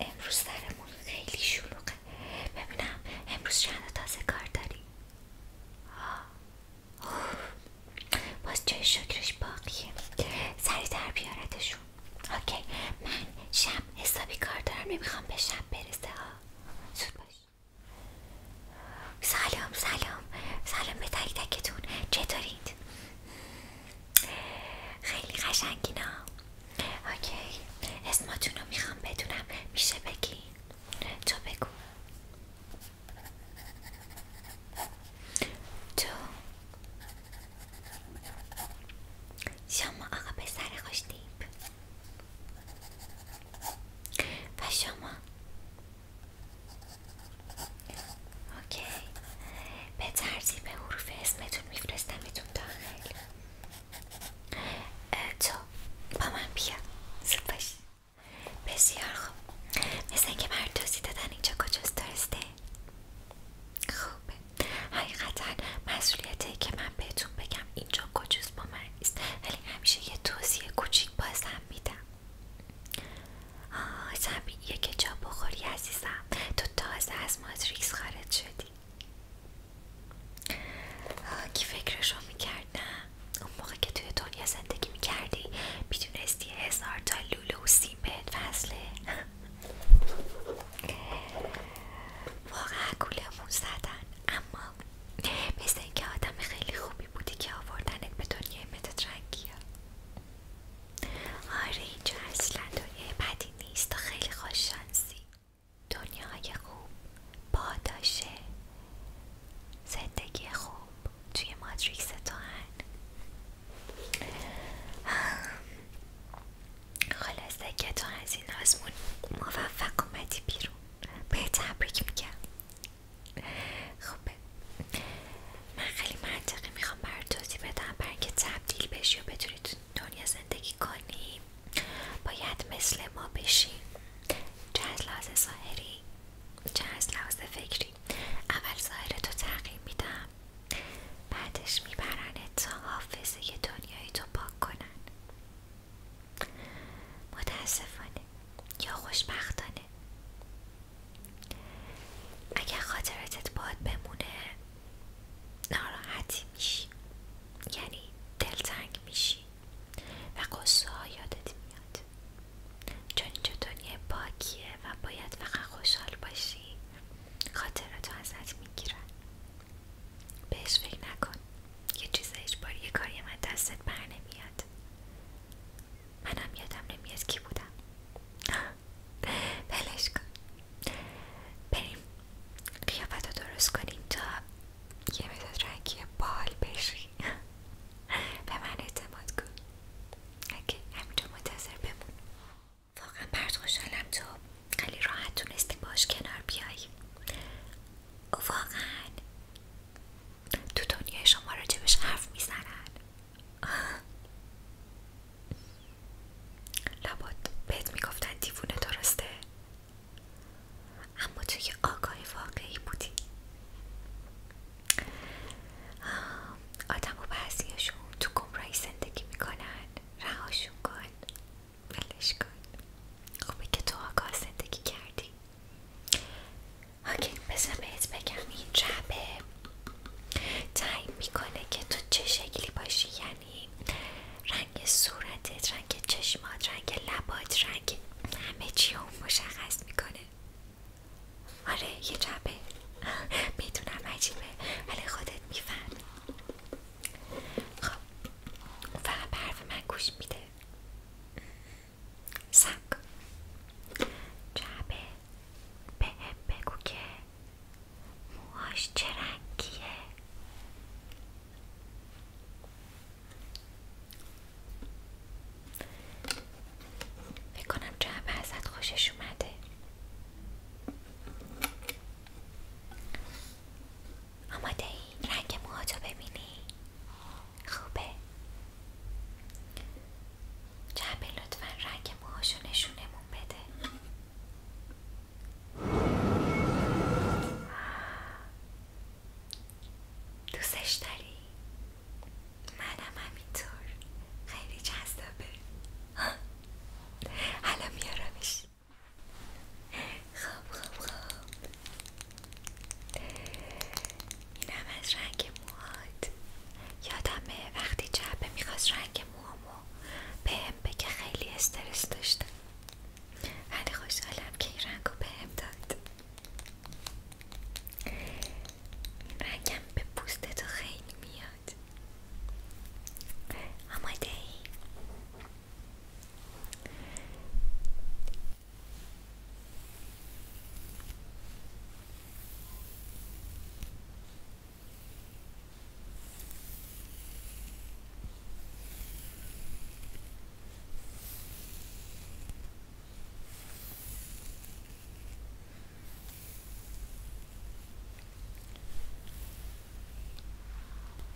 امروز سرمون خیلی شلوغه ببینم امروز چند تازه کار داری باز جای شکرش باقیه سریتر بیارتشون اوکی من شب حسابی کار دارم نمیخوام به شب برسه باش سلام سلام سلام به تک تکتون چطورید خیلی قشنگینا اوکی اسماتون رو میخوام بدونم میشه بگی تو بگو تو شما آقا سر خوشتیپ. و شما اوکی به ترتیب حروف اسمتون میفرستمتون داخل تو با من بیا بسیار خوب مثل اینکه مردوزی دادن اینجا کجاست درسته؟ خوبه حقیقتا مسئولیتی که من بهتون بگم اینجا کجاست با من نیست ولی همیشه یه توصیه کوچیک بازم میدم آه زمینیه که جا بخوری عزیزم تو تازه از ماتریکس خارج شدی کی فکرشو میکرد نه اون موقع که توی دنیا زندگی میکردی میدونستی هزار تا لوله و سیم بهت فصله واقعا گولمون زدن اما مثل اینکه آدم خیلی خوبی بودی که آوردنت به دنیای مدت رنگی ها آره اینجا اصلا دنیای بدی نیست تو خیلی خوششانسی دنیای خوب پاداشه زندگی خوب توی مادریکس تو خلاصه که تو از این آزمون موفق اومدی بیرون به تبریک که خوبه من خیلی منطقی میخوام برات بدم بر که تبدیل بشی و بتونی دنیا زندگی کنی باید مثل ما بشی چه از لحاظ ظاهری چه از لحاظ فکری اول ظاهرتو تغییر میدم بعدش میبرنت تا حافظه دنیای تو پاک کنن متاسفانه یا خوشبختانه اگر خاطراتت بود بمونه ناراحتی میشی یعنی دلتنگ میشی و قصه ها یادت میاد چون اینجا دنیا پاکیه و باید فقط خوشحال باشی خاطراتو ازت میگیرن بهش فکر نکن یه چیز اجباری یه کاری من دستت بر نمیاد منم یادم نمیاد کی بودم بلش کن بریم قیافت رو درست کنیم تا یه بهداد رنگی بال بشی به من اعتماد کن اگه همینجا منتظر بمون واقعا برد خوشحالم تو خیلی راحت تونستی باش کنار بیاییم و واقعا تو دنیای شما راجبش حرف میزنن لبات بهت میگفتن دیوونه درسته اما تو یه آگاه واقعی بودی آدم و تو گمراهی زندگی میکنن رهاشون کن ولش کن خوبه که تو آگاه زندگی کردی اوکی بذار بهت بگم این جعبه تعیین میکنه که تو چه شکلی باشی یعنی رنگ صورتت رنگ چشمات رنگ لبات رنگ همه چی اون مشخص میکنه آره یه جبه میدونم عجیبه ولی خودت میفهم خب فقط به حرف من گوش میده سب جبه به هم موهاش چه رنگیه فکر کنم جمع ازت خوشش اومده آماده ای رنگ موهاتو ببینی خوبه جعبه لطفا رنگ موهاشو نشونمون بده دوستش داری؟ منم همینطور خیلی جذابه حالا میارمش خب خب خب اینم از رنگ موهات یادمه وقتی جبه میخواست رنگ موهامو به بگه خیلی استرس داشتم ولی خوشحالم که این رنگو بهم داد رنگم به پوست خیلی میاد آماده ای؟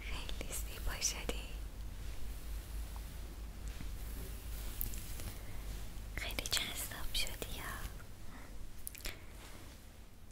خیلی زیبا باشدی خیلی جذاب شدی یا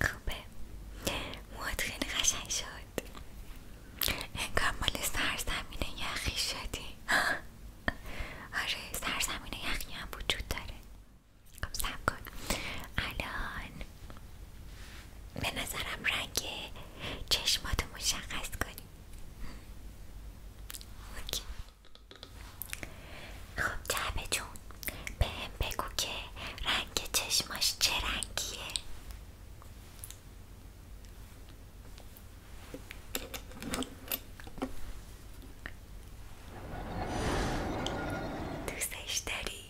خوبه موهات خیلی قشنگ شد انگار مال سرزمین یخی شدی آره سرزمین یخی هم وجود داره خب سب کن الان به نظرم رنگ چشماتو مشخص کنیم اوکی خب جعبه جون به هم بگو که رنگ چشماش چه رنگیه دوستش داری؟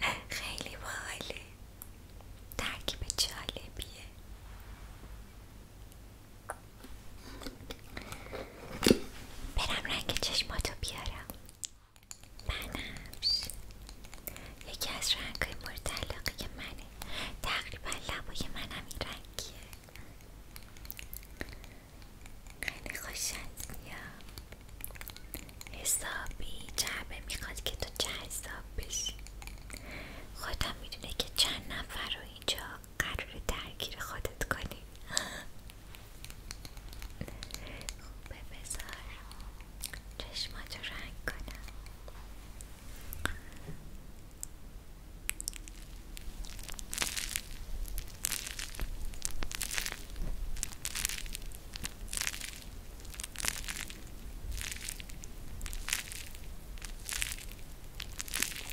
خیلی باحاله ترکیب جالبیه برم رنگ چشماتو بیارم بنفش یکی از رنگهای مورد علاقه منه تقریبا لبای منم این رنگیه خیلی حسابی جعبه میخواد که تو جذاب بشی خودم میدونه که چند نفر رو اینجا قرار درگیر خودت کنی خوبه بذار چشماتو رنگ کنم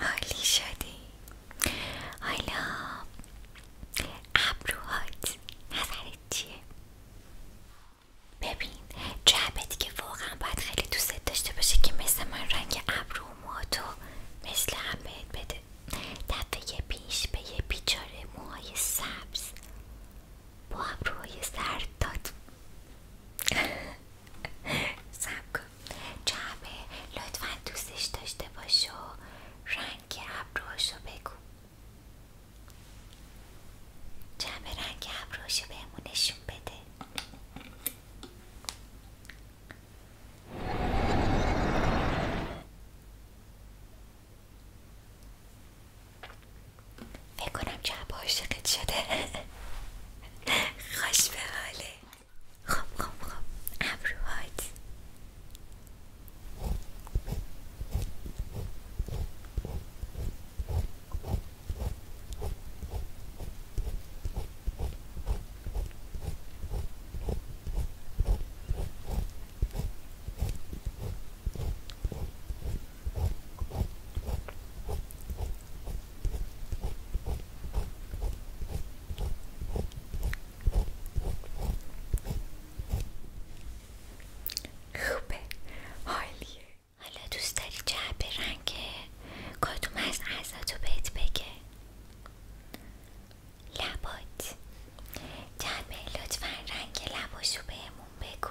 حالی شدی حالا ابروهات نظرت چیه؟ ببین جعبت که واقعا باید خیلی دوست داشته باشه که مثل من رنگ ابرو موهاتو مثل هم بهت بده دفعه پیش به یه بیچاره موهای سبز با ابروهای سرد داد سب لطفا دوستش داشته باش و رنگ ابروهاشو بگو جعبه رنگ ابروهاشو بهمون نشون بده فکر کنم جب عاشقت شده خوش به حاله خب خب خب ابروهات خوبه حالیه حالا دوست داری به رنگ کدوم از تو بهت بگه لبات جعبه لطفا رنگ لباشو بهمون بگو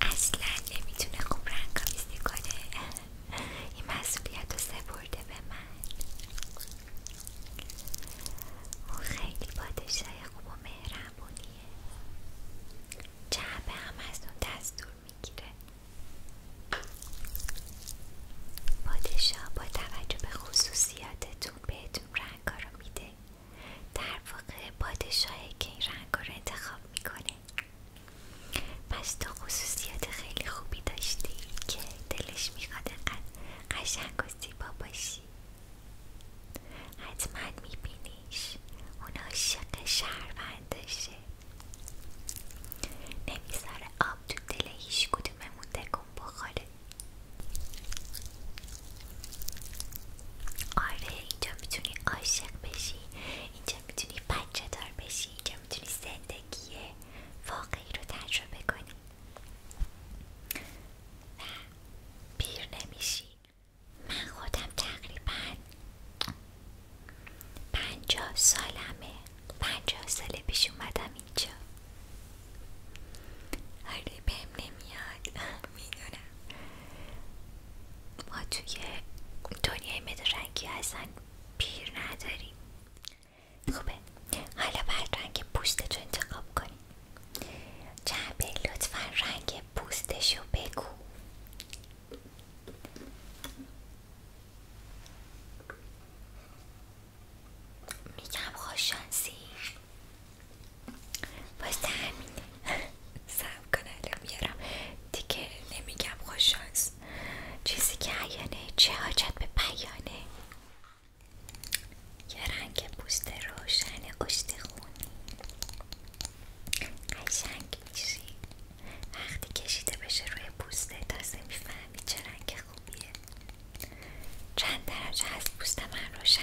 اصلا نمیتونه خوب رنگ آمیزی کنه این مسئولیت رو سپرده به من اون خیلی پادشاه خوب و مهربونیه جعبه هم از اون دستور میگیره پادشاه با توجه به خصوصیاتتون بهتون رنگا رو میده در واقع پادشاهی که این رنگ رو انتخاب میکنه پس تو خصوصیات خیلی خوبی داشتی که دلش میخواد قشنگ و زیبا باشی حتما میبینیش اون عاشق شهروندشه نمیذاره آب تو دل هیچ کدوممون بخوره آره اینجا میتونی عاشق بشی اینجا میتونی بچه دار بشی اینجا میتونی زندگی واقعی رو تجربه کنی و پیر نمیشی من خودم تقریبا پنجاه سالمه پنجاه ساله پیش اومدم اینجا آره بهم نمیاد میدونم ما توی دنیای مدرنگی اصلا پیر نداریم خوبه حالا باید رنگ پوستتو انتخاب کنیم جعبه لطفا رنگ پوستشو بگو میگم خوششانسی واسه همینه سب کن الان دیگه نمیگم خوششانس چیزی که عیانه چه حاجت به پیانه یه رنگ پوست روشن اشتخونی قشنگ وقتی کشیده بشه روی پوسته تازه میفهمی چه رنگ خوبیه چند درجه از پوست من روشن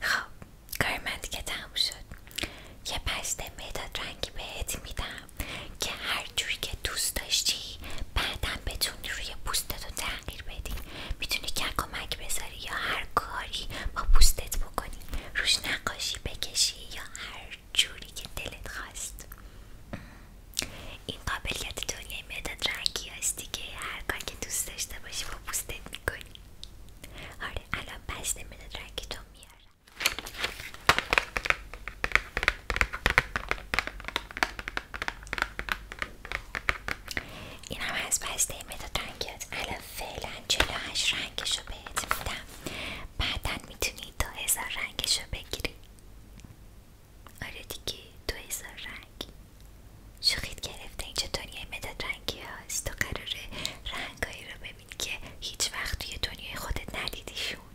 خب کار من دیگه تموم شد یه پشت مداد رنگی بهت میدم که هر جوری که دوست داشتی بعدا بتونی روی پوستت رو تغییر بدی میتونی که کمک بذاری یا هر کاری با پوستت بکنی روش نقاشی بکشی یا هر جوری که دلت خواست این قابلیت دنیای مداد رنگی هستی که هر کار که دوست داشته باشی با پوستت میکنی آره الان پس مداد رنگی تو میارم این هم از بسته مداد الان فعلا 48 رنگشو بهت میدم بعدا میتونی دو هزار رنگشو بگیری آره دیگه دو هزار رنگ شوخید گرفته اینجا دنیای مداد رنگی هاست تو قراره رنگایی رو ببینید که هیچ وقت توی دنیای خودت ندیدیشون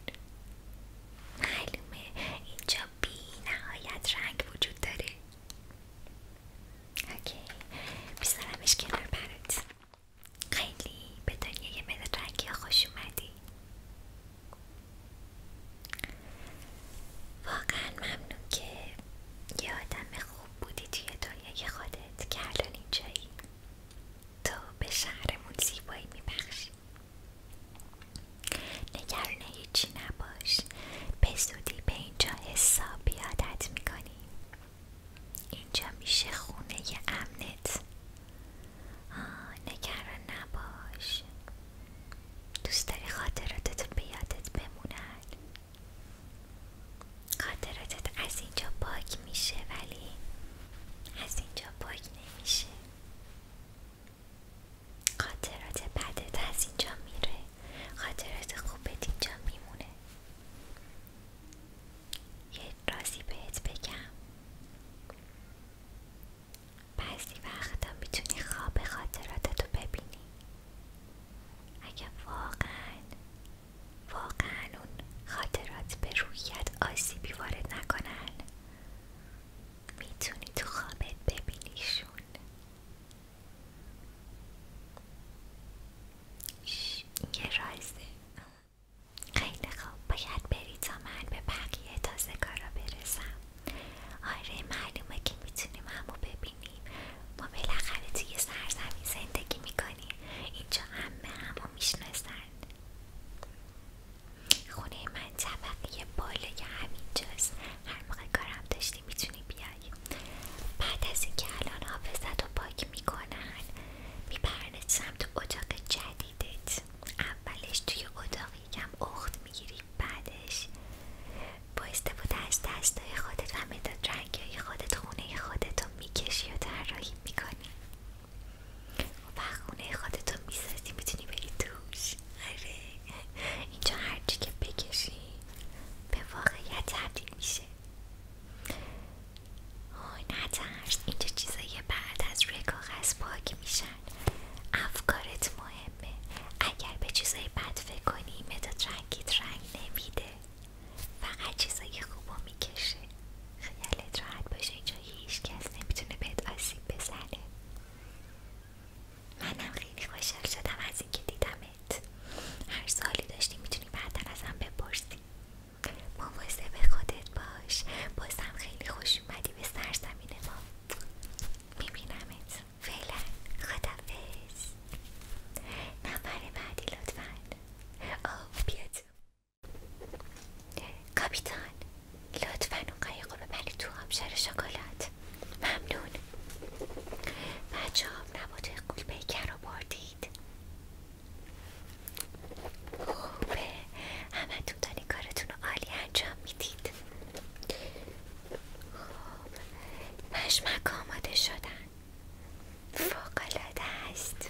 معلومه اینجا بی نهایت رنگ وجود داره اوکی بیزارمش کنار برات خیلی به دنیای یه رنگی ها خوش اومدی واقعا ممنون که یه آدم خوب بودی توی دنیای خودت که الان اینجایی تو به شهرمون زیبایی میبخشی نگران هیچی نباش به زودی به اینجا حساب بیادت میکنی اینجا میشه خونه ی امنت آه نگران نباش دوست داری خاطراتتون به یادت بمونن خاطراتت از اینجا پاک میشه ولی از اینجا پاک نمیشه خاطرات بدت از اینجا میره خاطرات خوبت اینجا میمونه یه رازی بهت بگم بعضی وقتا میتونی خواب خاطراتتو ببینی اگه واقعا واقعا اون خاطرات به رویت آسیبی وارد نکنن میتونی تو خوابت ببینیشون یه رازه خیلی خوب باید بری تا من به بقیه تازه کارا برسم آره معلومه که میتونیم همو ببینیم ما بالاخره توی سرزمین زندگی میکنیم اینجا همه همو میشناسن خونه من طبقه بالای همینجاست هر موقع کارم داشتی میتونی بیای بعد از اینکه الان حافظت رو پاک میکنن میپرنت سمت اتاق جدیدت اولش توی اتاق یکم اخت میگیری بعدش با استفاده از دستای خودت و مداد رنگی خودت خونه خودت رو میکشی و طراحی میکنی و خونه خودتو میسازی میتونی بری دوش اره. اینجا هرچی که بکشی به واقعیت تبدیل میشه آی نترس اینجا چیزایی بعد از روی کاغذ پاک میشن افکارت مهمه اگر به چیزای بد فکر کنی مداد رنگیت رنگ نمیده فقط چیزای خوب رو میکشه خیالت راحت باشه اینجا هیچ کس نمیتونه بهت آسیب بزنه منم خیلی خوشحال شدم از اینکه دیدمت هر سالی داشتی میتونی از ازم بپرسی به خودت باش بازم خیلی خوش اومدی به سرزمین ما میبینمت فعلا خدافز نفر بعدی لطفا آه بیاد کاپیتان لطفا اون قایق رو تو آبشار شکلات ممنون بچه هم نبات قول پیکر رو بردید خوبه همه تو دانی کارتون رو عالی انجام میدید خوب مشمک آماده شدن العاده است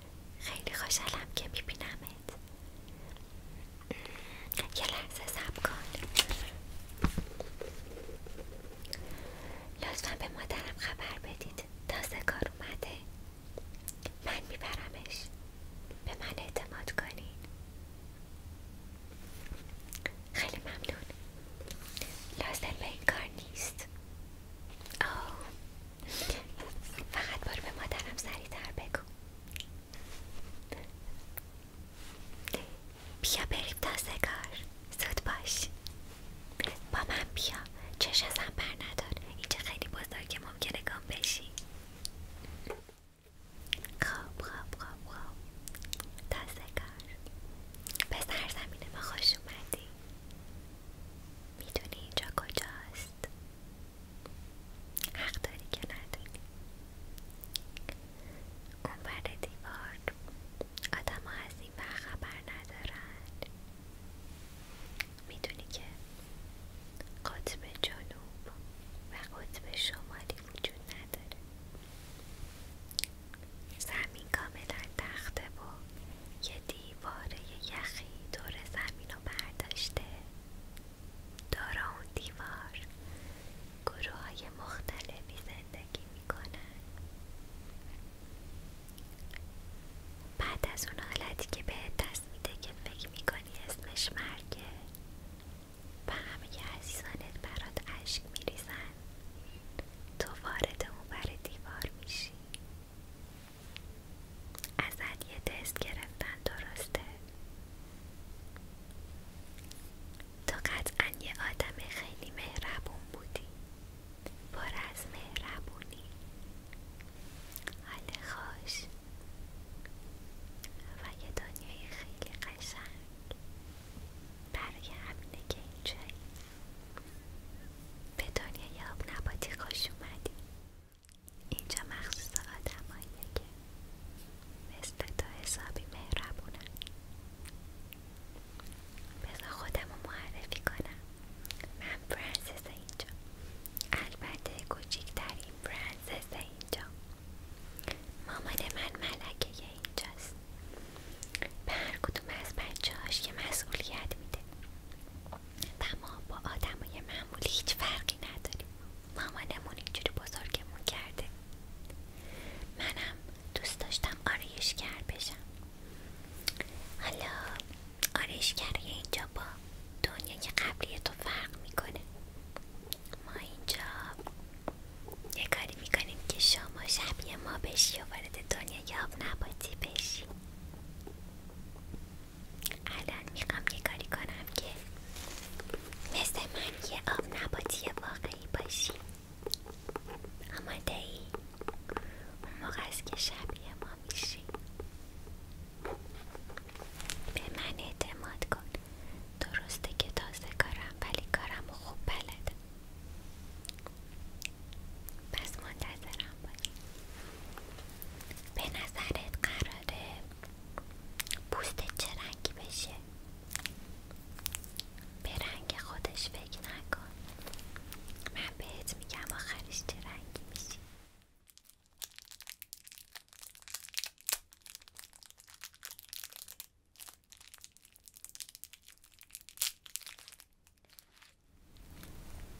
خیلی خوشحالم که میبینمت یه لحظه صبر کن لطفا به مادرم خبر بدید تازه کار اومده من میبرمش به من اعتماد کنین خیلی ممنون لازم به این کار نیست آه فقط برو به مادرم سریعتر بگو بیا بریم تازه کار زود باش با من بیا چش ازم بر ندار اینجا خیلی بزرگ ممکنه گام بشی خوب خواب خوب خب. تا تازه کار به سرزمین ما خوش اومدی میدونی اینجا کجاست حق داری که نداری اون دیوار آدم ها از این وقت خبر ندارن میدونی که قطب جنوب و قطب شمالی وجود نداره زمین کاملا تخته و یه دیواره یخی دور زمین رو برداشته دارا اون دیوار گروه های مختلفی زندگی میکنن بعد از اون حالتی که به دست میده که فکر میکنی اسمش مرگه و همه عزیزانت برات اشک میریزن تو وارد اون بر دیوار میشی ازت یه تست گرفتن درسته تو قطعا یه آدم خیلی مهربون بودی پر از مهربونی حال خوش و یه دنیای خیلی قشنگ برای همینه که اینجایی به دنیای آب نباتی خوش اومدی اینجا مخصوص آدماییه که مثل تا حسابی مهربونن بذار خودم رو معرفی کنم من پرنسس اینجا البته کوچیکترین پرنسس اینجا مامان من ملکه اینجاست به هر کدوم از بچه هاش یه مسئولیت میده و ما با آدمای معمولی هیچ فرقی نداریم مامانمون اینجوری بزرگمون کرده منم دوست داشتم آرایشگر بشم حالا آرایشگری اینجا با دنیای قبلی تو فرق میکنه ما اینجا یه کاری میکنیم که شما شبیه ما بشی و وارد دنیای آب نباتی بشی الان میخوام یه کاری کنم که مثل من یه آب نباتی واقعی باشی آماده ای؟ اون است که شبیه ما میشی به من اعتماد کن درسته که تازه کارم ولی کارم خوب بلدم پس منتظرم باشیم به نظرت قراره پوست چه رنگی بشه به رنگ خودش فکر نکن من بهت میگم آخرش چه رنگی میشی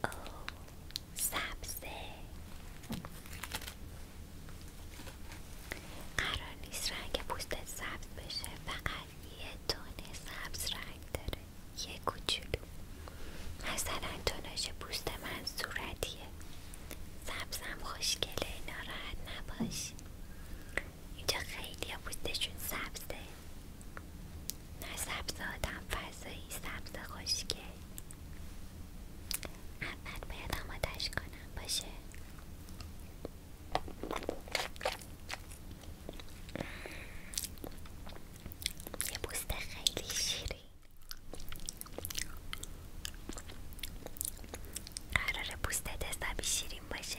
اوه سبزه قرار نیست رنگ پوستت سبز بشه فقط یه تونه سبز رنگ داره یه کوچولو مثلا تونش پوست من صورتیه سبزم خوشگله ناراحت نباش اینجا خیلی پوستشون سبزه نه سبز آدم فضایی سبز خوشگل اول باید آمادش کنم باشه یه پوست خیلی شیرین قراره پوست دستابی شیرین باشه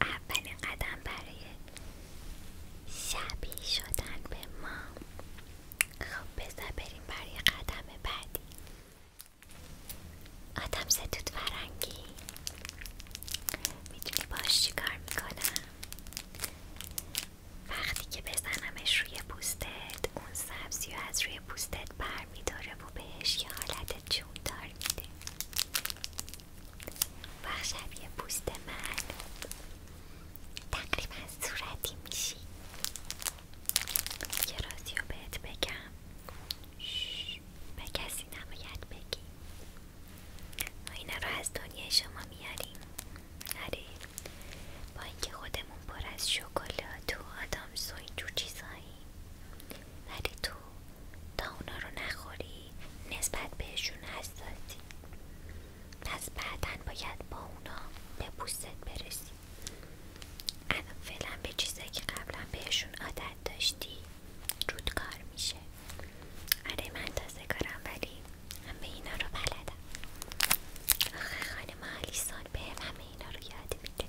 اولین قدم برای شبیه شدن به ما خب بذار بریم برای قدم بعدی آدم ستود فرنگی میتونی باش چی کار میکنم وقتی که بزنمش روی پوستت اون سبزی از روی پوستت بر برمیداره و بهش یه حالت دار میده بخش شبیه پوست من تقریبا صورتی میشی یه رازی رو بهت بگم به کسی نباید بگی ما اینا رو از دنیا شما میاریم نره با اینکه خودمون پر از شکلات و آدم سو اینجور چیزایی تو تا اونا رو نخوری نسبت بهشون حساسی پس بعدا باید با اونا به پوستت برسی الان فعلا به چیزایی که قبلا بهشون عادت داشتی رود کار میشه آره من تازه کارم ولی همه اینا رو بلدم آخه خانم آلیسون به همه اینا رو یاد میده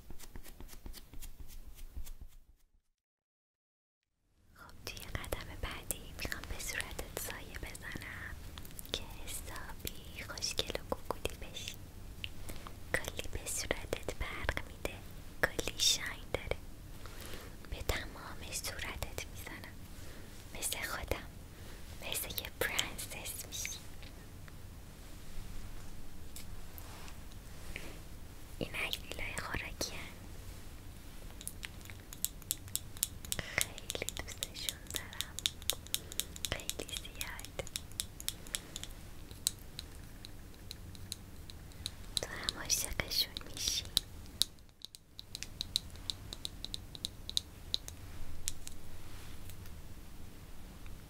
خب توی قدم بعدی میخوام به صورتت سایه بزنم که حسابی خوشگل و گوگولی بشی کلی به صورتت برق میده کلی شاین داره به تمام صورتت میزنم مثل خودم مثل یه پرنسس میشی این ویلای خوراکی هن. خیلی دوستشون دارم خیلی زیاد تو هم عاشقشون میشی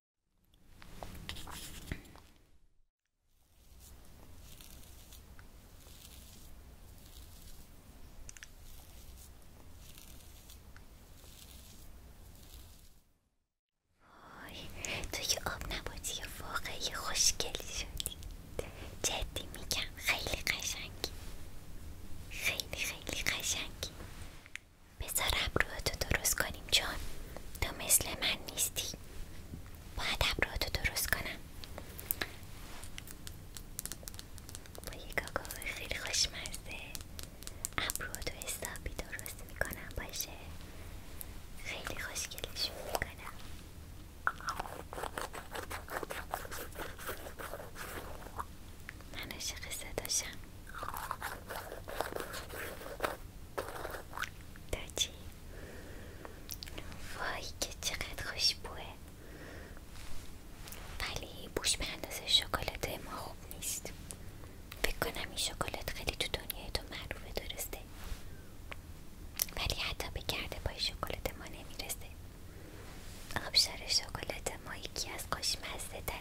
وای تو که آب نباتی واقعی خوشگلی شدی جدی میگم خیلی قشنگی خیلی خیلی قشنگی بذارم روحتو درست کنیم جان تو مثل من نیستی باید ابروتو درست کنم با یه کاکاو خیلی خوشمزه ابروتو حسابی درست میکنم باشه خیلی خوشگلشون میکنم من عشق داشم دادی وای که چقدر خوشبوه ولی بوش به اندازه شکلات ما خوب نیست فکر کنم این شکلات خیلی تو دنیای تو معروفه درسته ولی حتی به گرده پای شکلات ما نمیرسه آبشار شکلات ما یکی از خوشمزه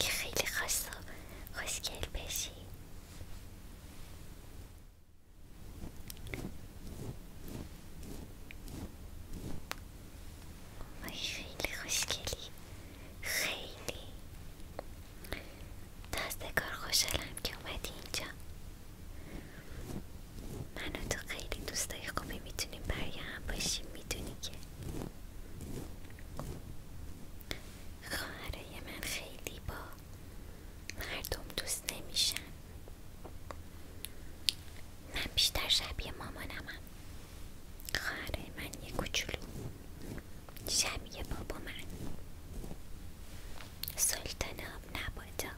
که خیلی خاص و خوشگل بشی خیلی خوشگلی خیلی دستکار خوشحالم که اومدی اینجا من تو خیلی دوستای خوبی میتونیم برای هم باشیم میدونی که خواهرای من خیلی با مردم دوست نمیشن من بیشتر شبیه مامانمم خاره من یه کوچولو شبیه بابا من سلطان آب نبادا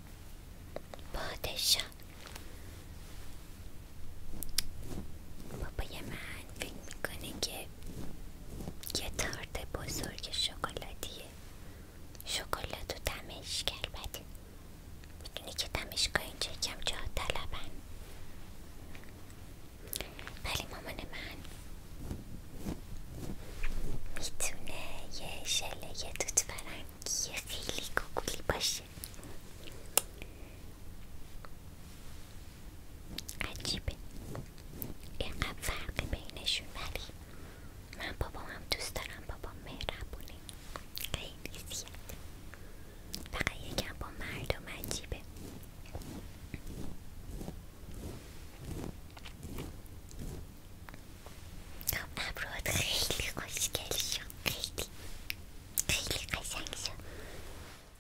پادشاه بابای من فکر میکنه که یه تارت بزرگ شکلاتیه شکلات و دمشک البته میدونی که دمشگاه اینجا یکم جا طلبن ولی مامان من میتونه یه شله یه توت فرنگی خیلی کوکولی باشه عجیبه اینقدر فرق بینشون ولی من بابام هم دوست دارم بابام مهربونه خیلی زیاد فقط یکم با مردم عجیبه خب، ابراد خیلی خوشگل شد خیلی خیلی قشنگ شد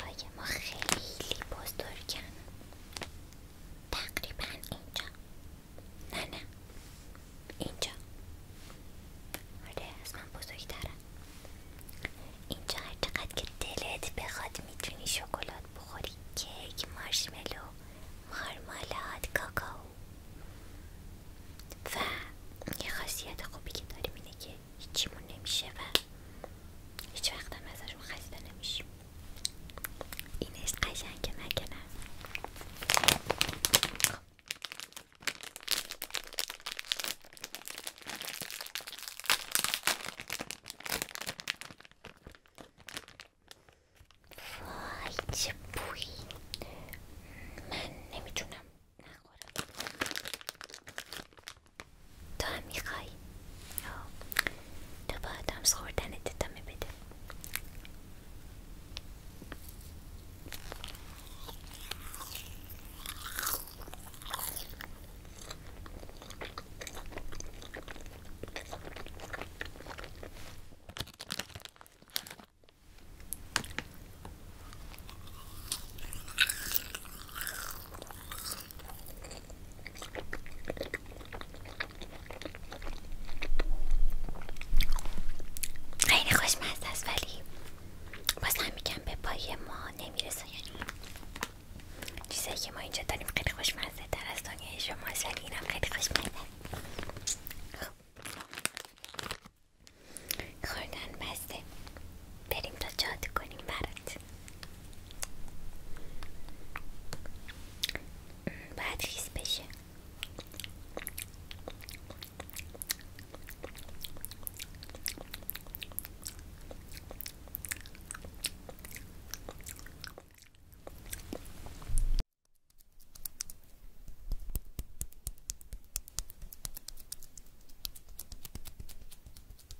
های ما خیلی کن تقریبا اینجا نه نه اینجا آره از من بزرگترم اینجا هر که دلت بخواد میتونی شکلات بخوری کیک مرشملو، مارمالاد کاکاو و یه خاصیت خوبی که داریم اینه که نمیشه و هیچ وقت هم ازشون خسته نمیشیم این عشق قشنگه مگه وای چه بوی من نمیتونم نخورم تو هم میخوای خب. تو با آدمس خوردنت ادامه بده خیلی خوشمزه است ولی باز هم میگم به پای ما نمیرسه یعنی چیزایی که ما اینجا داریم خیلی خوشمزه تر از دنیای شماست ولی اینم خیلی خوشمزه خب. خوردن بسته بریم تا جادو کنیم برات باید خیلی بشه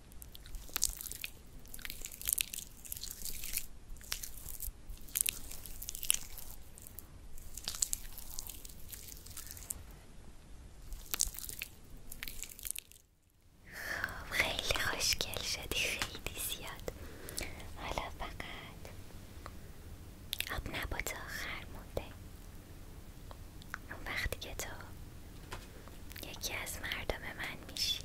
خب خیلی خوشگل شدی خیلی زیاد حالا فقط آب نبات آخر مونده اون وقتی که تو یکی از مردم من میشی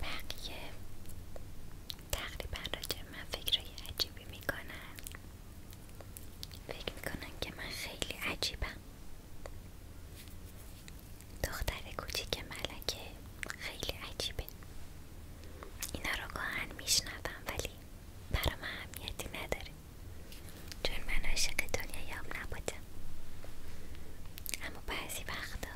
بقیه تقریبا راجع من فکرهای عجیبی میکنن فکر میکنن که من خیلی عجیبم دختر کوچیک ملکه خیلی عجیبه اینا رو گاهن میشنوم ولی برام اهمیتی نداره چون من عاشق دنیایم نبودم اما بعضی وقتا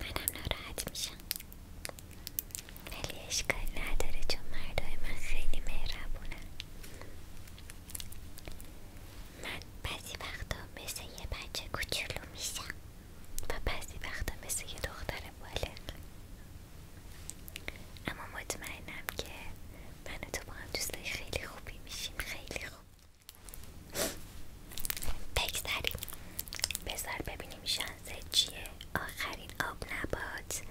منم ناراحت میشم ولی اشکال نداره چون مردای من خیلی مهربونه من بعضی وقتا مثل یه بچه کچلو میشم و بعضی وقتا مثل یه دختر بالغ اما مطمئنم که من تو با هم خیلی خوبی میشیم خیلی خوب بگذاریم بسار ببینیم شانسه چیه آخرین آب نبات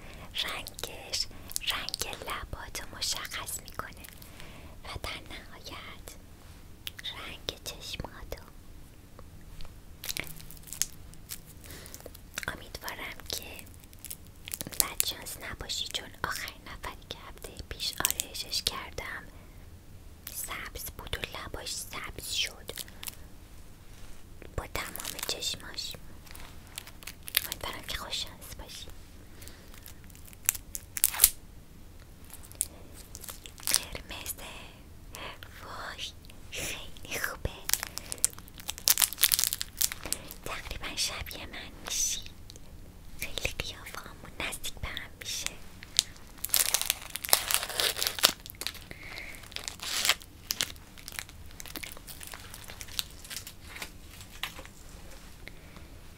رنگش رنگ لبات رو مشخص میکنه و در نهایت رنگ چشماتو امیدوارم که شانس نباشی چون آخر نفری که هفته پیش آرایشش کردم سبز بود و لباش سبز شد با تمام چشماش امیدوارم که خوش شانس باشی قرمزه وای خیلی خوبه تقریبا شبیه من میشی خیلی قیافه همون نزدیک به هم میشه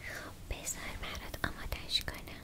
خب بذار برات آمادش کنم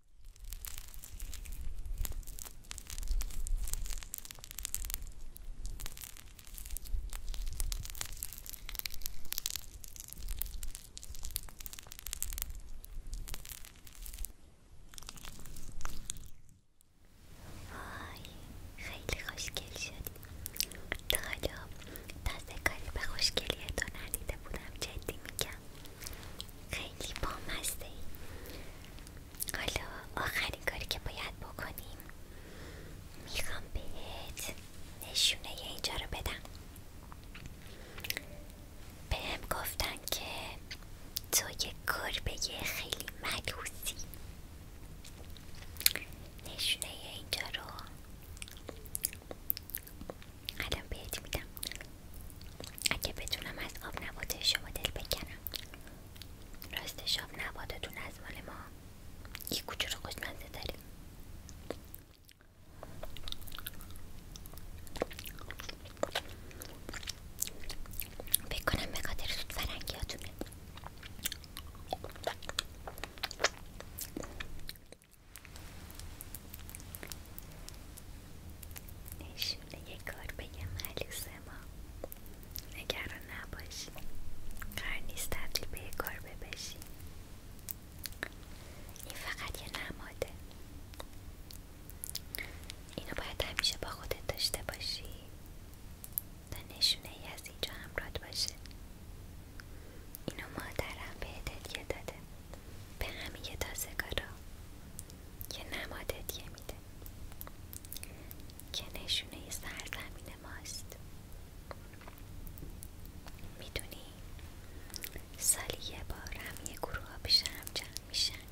وای خیلی خوشگل شدی تا حالا به کاری به ندیده بودم جدی میگم خیلی بامزه حالا آخرین کاری که باید بکنیم میخوام بهت نشونه اینجا رو بدم بهم گفتن که تو یه گربه خیلی ملوسی نشونه اینجا رو الان بهت میدم اگه بتونم از آب نباته شما دل بکنم راستش آب نباتتون از مال ما یه کوچولو خوشمزه داریم بکنم به خاطر سود فرنگیاتونه نشونه یک کار بگم ملیسه ما نگران نباشی قرار نیست تبدیل به یه کار ببشی این فقط یه نماده اینو باید همیشه با خودت داشته باشی تا نشونه یه از اینجا همراد باشه اینو مادرم به هدیه داده به همه تازگارا یه نماد یه میده که نشونه سرزمین ماست میدونی سالی یه بار همی یه گروه ها هم جمع میشن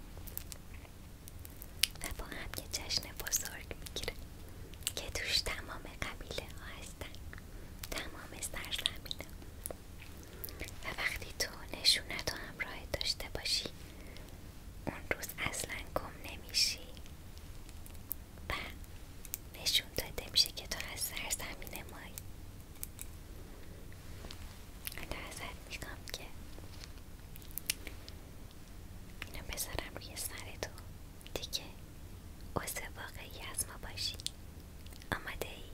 و با هم یه جشن بزرگ میگیره که توش تمام قبیله ها هستن تمام سرزمین ها و وقتی تو نشونتو و همراهت داشته باشی اون روز اصلا گم نمیشی و نشون داده میشه که تو از سرزمین مایی حالا ازت میگم که اینو بذارم روی سر تو دیگه عضو واقعی از ما باشی آمده ای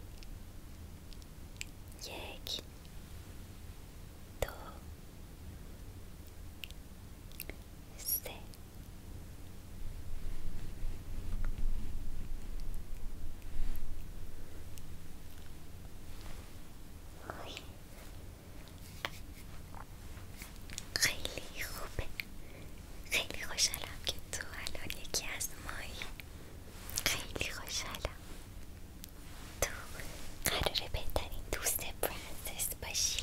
یک دو سه خیلی خوبه خیلی خوشحالم که تو الان یکی از مایی خیلی خوشحالم تو قراره بهترین دوست پرنسس باشی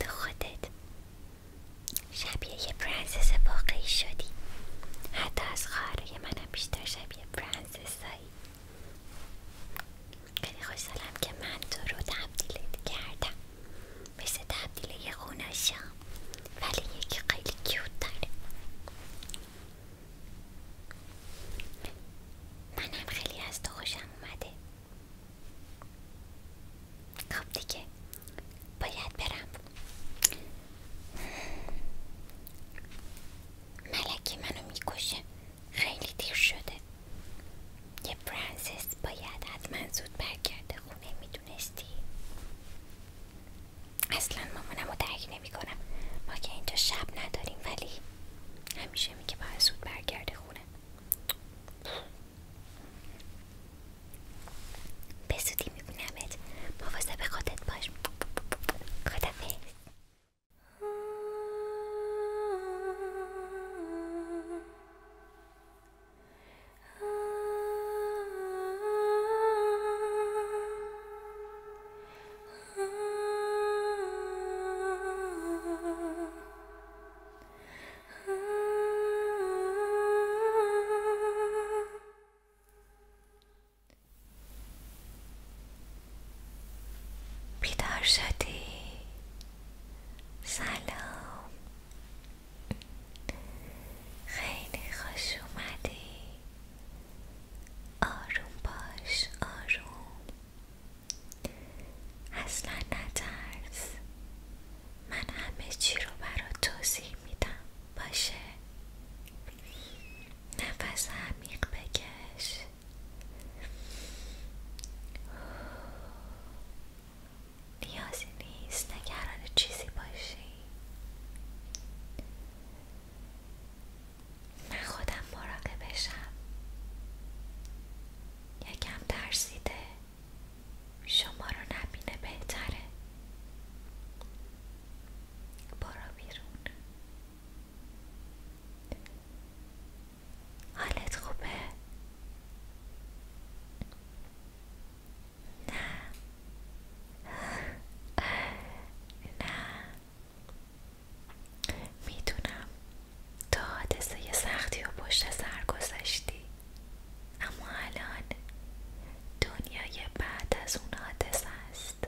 تو خودت شبیه یه پرنسس واقعی شدی حتی از من منم بیشتر شبیه پرنسسایی خیلی خوشحالم که من تو رو تبدیلت کردم مثل تبدیل یه خوناشا ولی یکی خیلی کیوت داره منم خیلی از تو خوشم اومده خب دیگه باید برم ملکی منو میکشه خیلی دیر شده یه پرنسس باید حتما زود برگرده خونه می میدونستی اصلا مامانم رو درک نمی ما که اینجا شب نداریم ولی همیشه میگه باید سود برگرده خونه به زودی میبینمت به خودت باش خدافظ بیدار شدی سلام خیلی خوش اومدی آروم باش آروم اصلا نترس من همه چی رو برات توضیح میدم باشه نفس عمیق بکش نیازی نیست نگران چیزی باشی من خودم بشم یکم ترسیده شما رو نبینه بهتره برو بیرون حالت خوبه نه نه میدونم تا حادثه سختی و پشت سر گذشتی اما الان دنیای بعد از اون حادثه است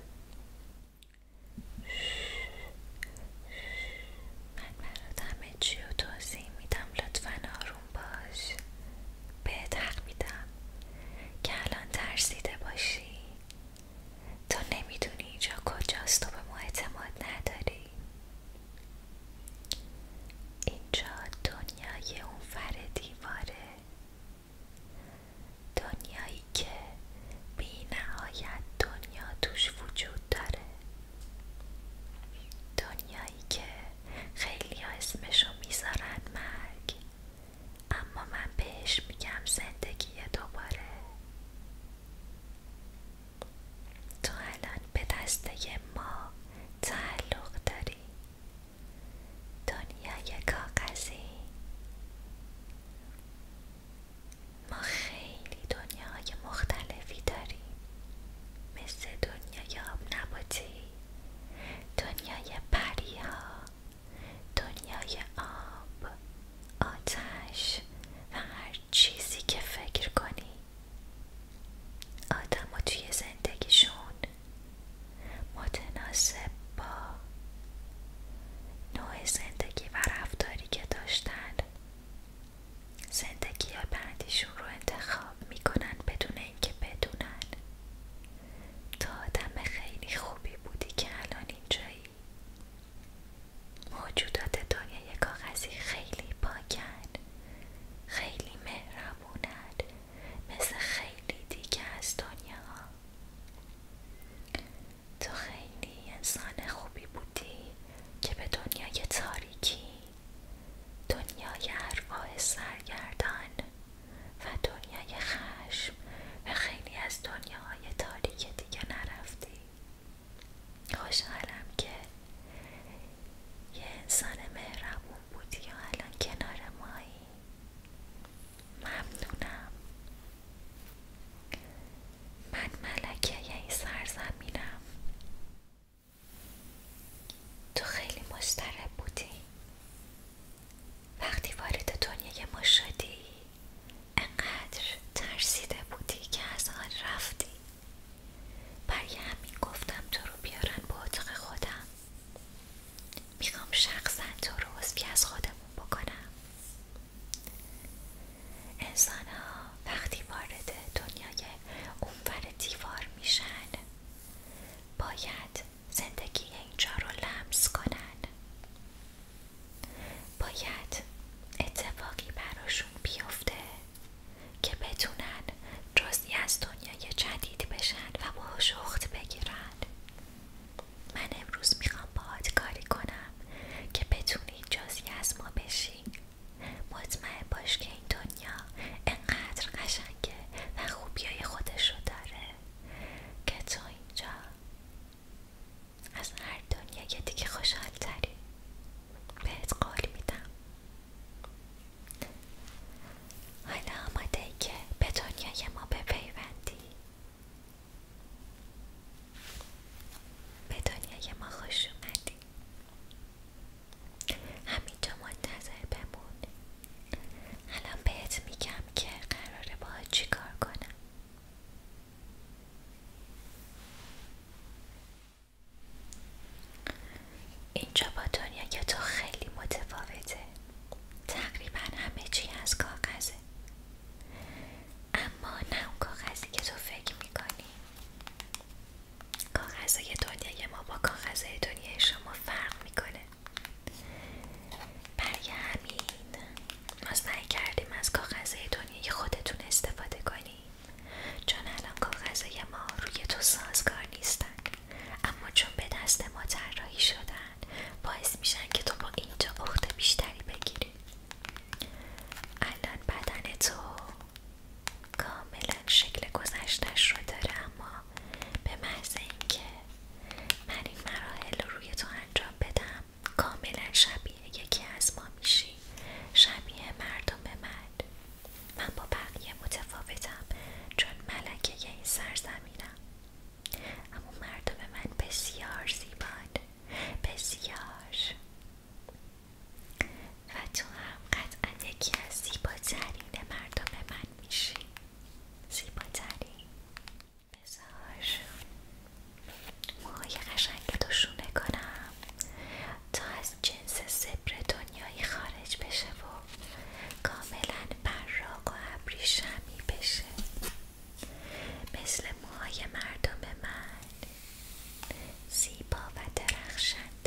من برات همه چی رو توضیح میدم لطفا آروم باش بهت حق میدم که الان ترسیده باشی تو نمیدونی اینجا کجاست تو به ما اعتماد نداری اینجا دنیای اون فر دیواره دنیایی که بی نهایت دنیا توش وجود داره دنیایی که خیلی اسمشو میذارن مرگ اما من بهش میگم زندگی دوباره تو الان به دسته ما تعلق داری دنیای کاغذی ما خیلی دنیاهای مختلفی داریم مثل دنیای آب نباتی دنیای پریها دنیای آب، آتش و هر چیزی که فکر کنی آدم و توی زندگیشون متناسب با نوع زندگی و رفتاری که داشتن زندگی بعدیشون رو انتخاب میکنن بدون اینکه بدونن تو آدم خیلی خوبی بودی که الان اینجایی موجودات دنیای کاغذی خیلی پاکن خیلی مهربونن مثل خیلی دیگه از دنیا تو خیلی انسان خوبی بودی که به دنیای تاریکی دنیای ارواح سرگردان و دنیای خشم و خیلی از دنیاهای تاریک دیگه نرفتی خوشحالم که یه انسان مهربون بودی و الان کنار مایی ممنونم من ملکه یه این سرزمینم تو خیلی مشترب بودی وقتی وارد دنیای ما شدی انقدر ترسیده بودی که از آن رفتی برای همین گفتم تو رو بیارن به اتاق خودم میخوام شخصا تو رو بی از خودمون بکنم انسان ها وقتی وارد دنیای اونور دیوار میشن باید زندگی اینجا رو لمس کنند. باید اتفاقی براشون بیفته که بتونن جزی از دنیای جدید بشن و باهاش اخت بگیرن من امروز میخوام باهات کاری کنم که بتونی جزی از ما بشی مطمئن باش که این دنیا انقدر قشنگه و خوبیای خودش رو داره که تو اینجا از هر دنیا که دیگه خوشحال تری بهت قول میدم حالا آماده ای که به دنیای ما بپیوندی به دنیای ما خوش اومدی همینجا منتظر بمون حالا بهت میگم که قراره با چی کار کنم اینجا با دنیا که تو خیلی متفاوته تقریبا همه چی از کاغذه اما نه اون کاغذی که تو فکر میکنی کاغذهای دنیای ما با کاغذهای دنیای شما فرق میکنه برای همین ما سعی کردیم از کاغذه دنیای خودتون استفاده کنیم چون الان کاغذه ما روی تو سازگار نیستن اما چون به دست ما طراحی شدن باعث میشن که تو با اینجا اخت بیشتری بگیری الان بدن تو کاملا شکل گذشتش رو داره اما به محض اینکه من این مراحل رو روی تو انجام بدم کاملا شبیه یکی از ما میشی شبیه مردم من من با بقیه متفاوتم چون ملکه یه این سرزمینم اما مردم من بسیار زیبان بسیار و تو هم قطعا یکی از زیباترین مردم من میشی زیباترین بذار موهای قشنگ دوشونه کنم تا از جنس زبر دنیایی خارج بشه و کاملا براق و ابریشمی بشه مثل موهای مردم من زیبا و درخشنده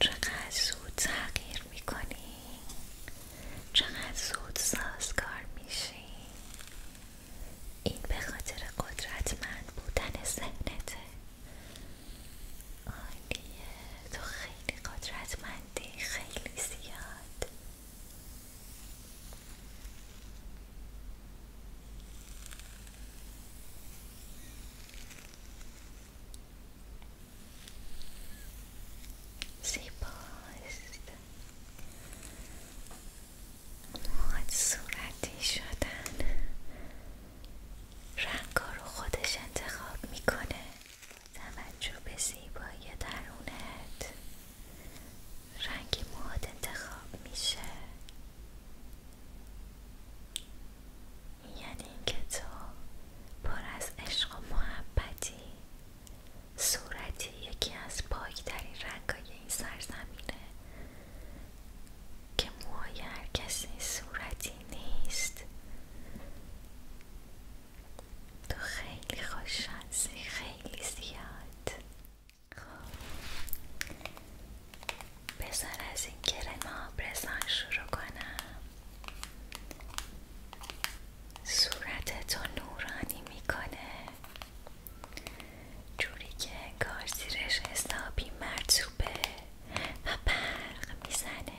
چقدر زود تغییر میکنی چقدر زود سازگار میشی این به خاطر قدرتمند بودن ذهنته عالیه تو خیلی قدرتمندی خیلی زیاد زیباست مواد صورتی شدن رنگا رو خودش انتخاب میکنه توجه به زیبایی درونت رنگ مواد انتخاب میشه یعنی اینکه تو پر از عشق و محبتی صورتی یکی از پاکترین رنگای این سرزمینه که موهای هر کسی صورتی نیست تو خیلی خوش خیلی زیاد خب از این شروع کنم صورتتو نورانی میکنه جوری که انگار زیرش حسابی مرتوبه و برق میزنه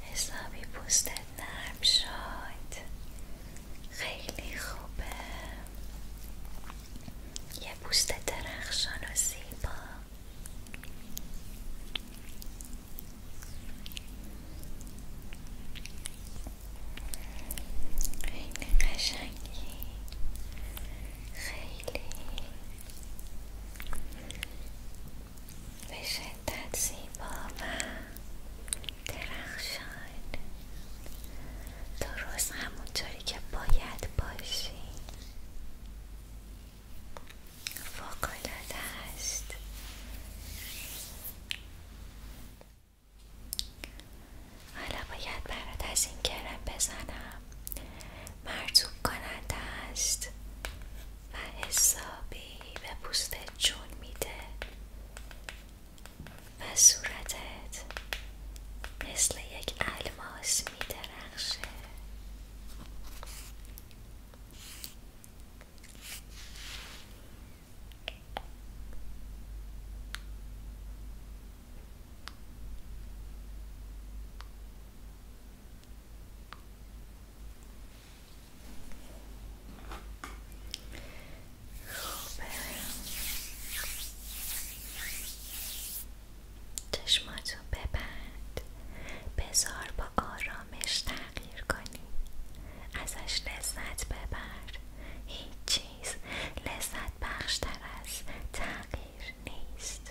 حسابی پوستت نرم شد خیلی خوبه یه پوست درخشان و زیبا این قشنگی خیلی به شدت زیبا و درخشان درست همونطوری که باید باشی فوقلاده است حالا باید برات از این کرم بزنم مرتوب کننده است و حسابی به پوستت جون میده و صورتت مثل یک الماس میدرخشه خوبه چشماتو ببند بزار با آرامش تغییر کنی ازش لذت ببر هیچ چیز لذت بخشتر از تغییر نیست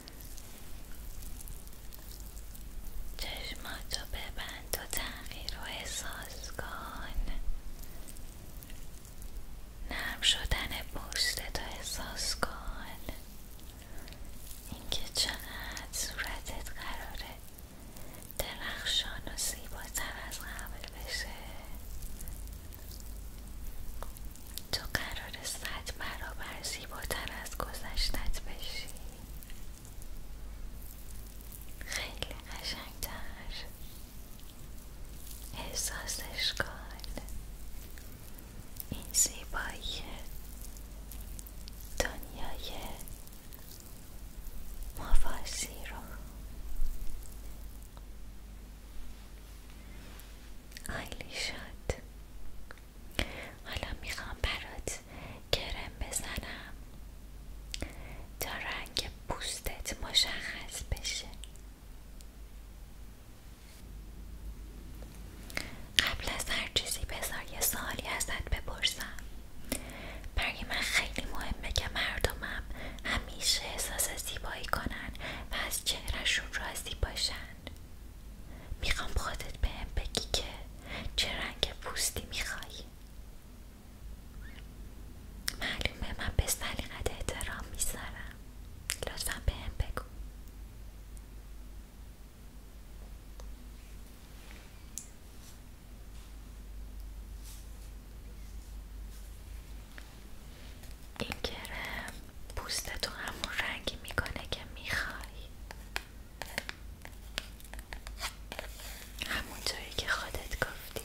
چشماتو ببند و تغییر و احساس کن نرم شدن تا احساس کن اینکه چقدر صورتت قراره درخشان و زیباتر از قبل بشه تو قرار صد برابر زیباتر از گذشتت بشی خیلی قشنگتر احساسش کن این زیبایی دنیای مفاسی رو عالی شد حالا میخوام برات کرم بزنم تا رنگ پوستت مشخص بشه قبل از هر چیزی بذار یه سالی ازت بپرسم برای من خیلی مهمه که مردمم همیشه احساس زیبایی کنن و از چهرهشون راضی باشن میخوام خودت بهم به بگی که چه رنگ پوستی میخوایی معلومه من به سلیقت احترام میذارم لطفا بهم بگو این کرم پوستتو همون رنگی میکنه که میخوای همون جایی که خودت گفتی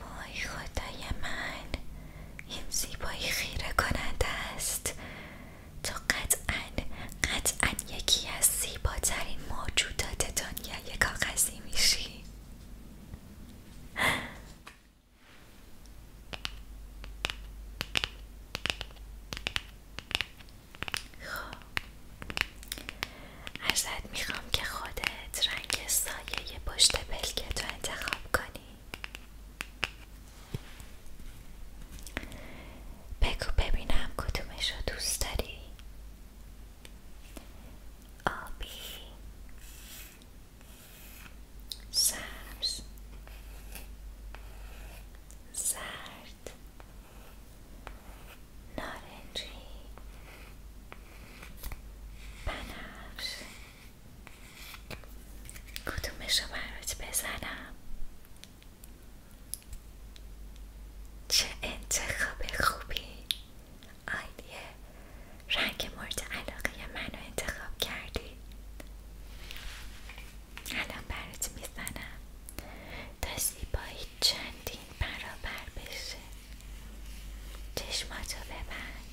وای خدای من این زیبایی خیره کننده است تو قطعا قطعا یکی از زیباترین موجودات دنیای کاغذی میشی خب ازت میخوام که خودت رنگ سایه پشت که تو انتخاب کنی بگو ببینم کدومش رو دوست داری آبی سبز زرد نارنجی بنفش کدومش رو برات بزنم چه انتخاب خوبی آیدیه رنگ مورد علاقه منو انتخاب کردی الان برات میزنم تا زیبایی چندین برابر بشه چشماتو ببند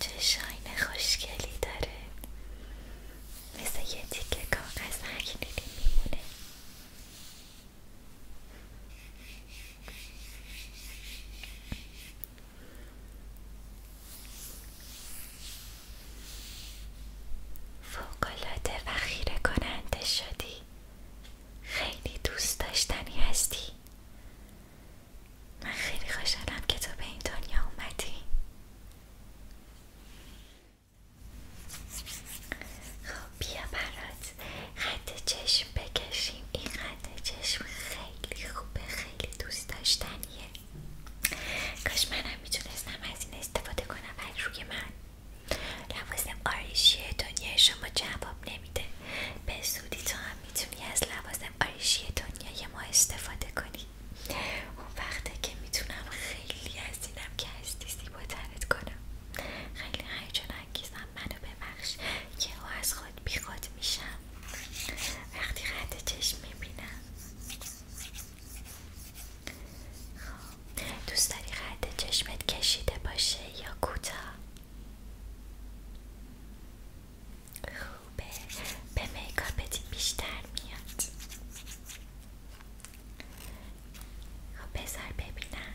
چه شاین خوشگلی داره مثل یه که کاغذ نگیری میمونه فوقلاده و خیره کننده شدی خیلی دوست داشتنی هستی من خیلی خوشحالم که تو به این دنیا اومدی خب، بیا برات خط چشم بکشیم این خط چشم خیلی خوبه خیلی دوست داشتنیه کاش منم میتونستم از این استفاده کنم ولی روی من لوازم آریشی دنیا شما جواب نمیده به سودی تو هم میتونی از لوازم آرایشی دنیای ما استفاده کنی اون وقته که میتونم خیلی از اینم که هستی زیباترت کنم خیلی هیجان منو ببخش که او از خود بیخود میشم وقتی خط چشم میبینم خب دوست داری خط چشمت کشیده باشه یا کوتاه خوبه به میکاپت بیشتر میاد خب بذار ببینم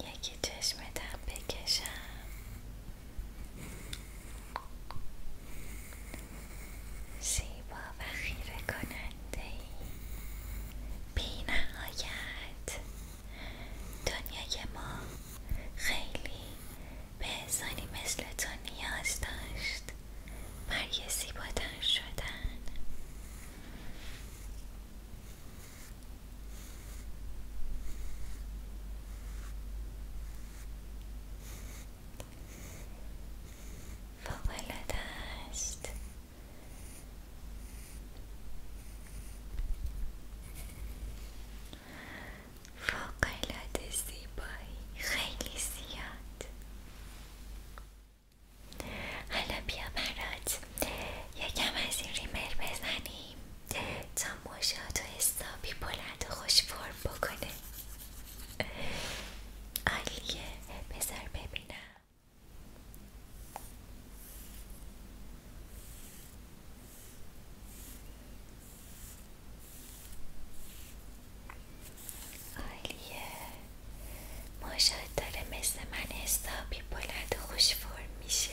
یکی چشمتم بکشم زیبا و خیره کننده ای دنیای ما خیلی به مثل تو نیاز داشت زیبا تر شدن فوقلاده است فوقلاده زیبایی خیلی زیاد حالا بیا برات یکم از این ریمر بزنیم تا تماشات و استابی بلند و خوش فرم بکنه عالیه بذار ببینم عالیه ماشاد داره مثل من حسابی بلند و خوش فرم میشه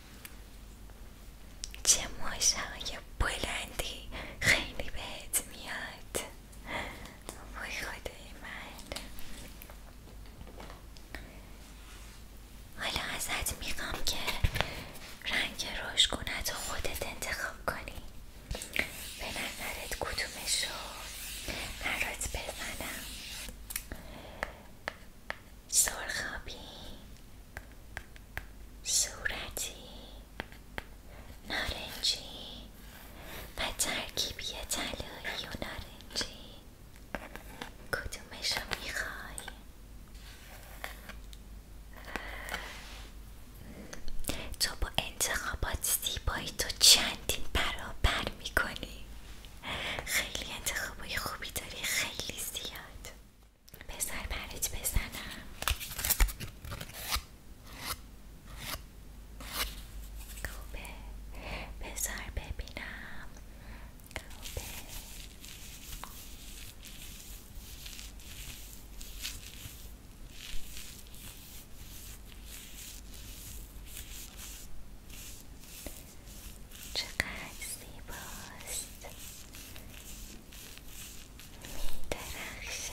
چه ماشای بلندی خیلی بهت میاد وای خدای من حالا ازت میخوام که رنگ روشگونت رو خودت انتخاب کنی به نظرت کدومشو برات بزنم سرخابی صورتی نارنجی و ترکیبی طلایی و نارنجی کدومش رو میخوای؟ تو با انتخابات زیبایی تو چندین برابر میکنی خیلی انتخابای خوبی داری خیلی زیاد بذار برات بزنم خوبه بذار ببینم خوبه چقدر زیباست میدرخشه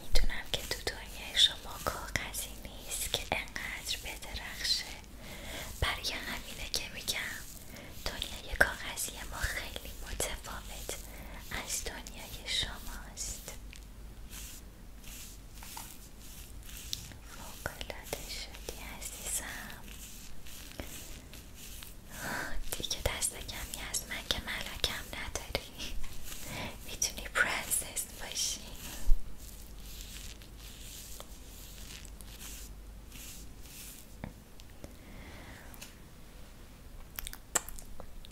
میدونم که تو دنیای شما کاغذی نیست که انقدر بدرخشه برای همینه که میگم دنیای کاغذی ما خیلی متفاوت از دنیای شماست فوقلاده شدی عزیزم دیگه دست کمی از من که کم نداری میتونی پرنسس باشی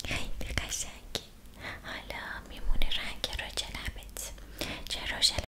خیلی قشنگی حالا میمونه رنگ رو جلبت چه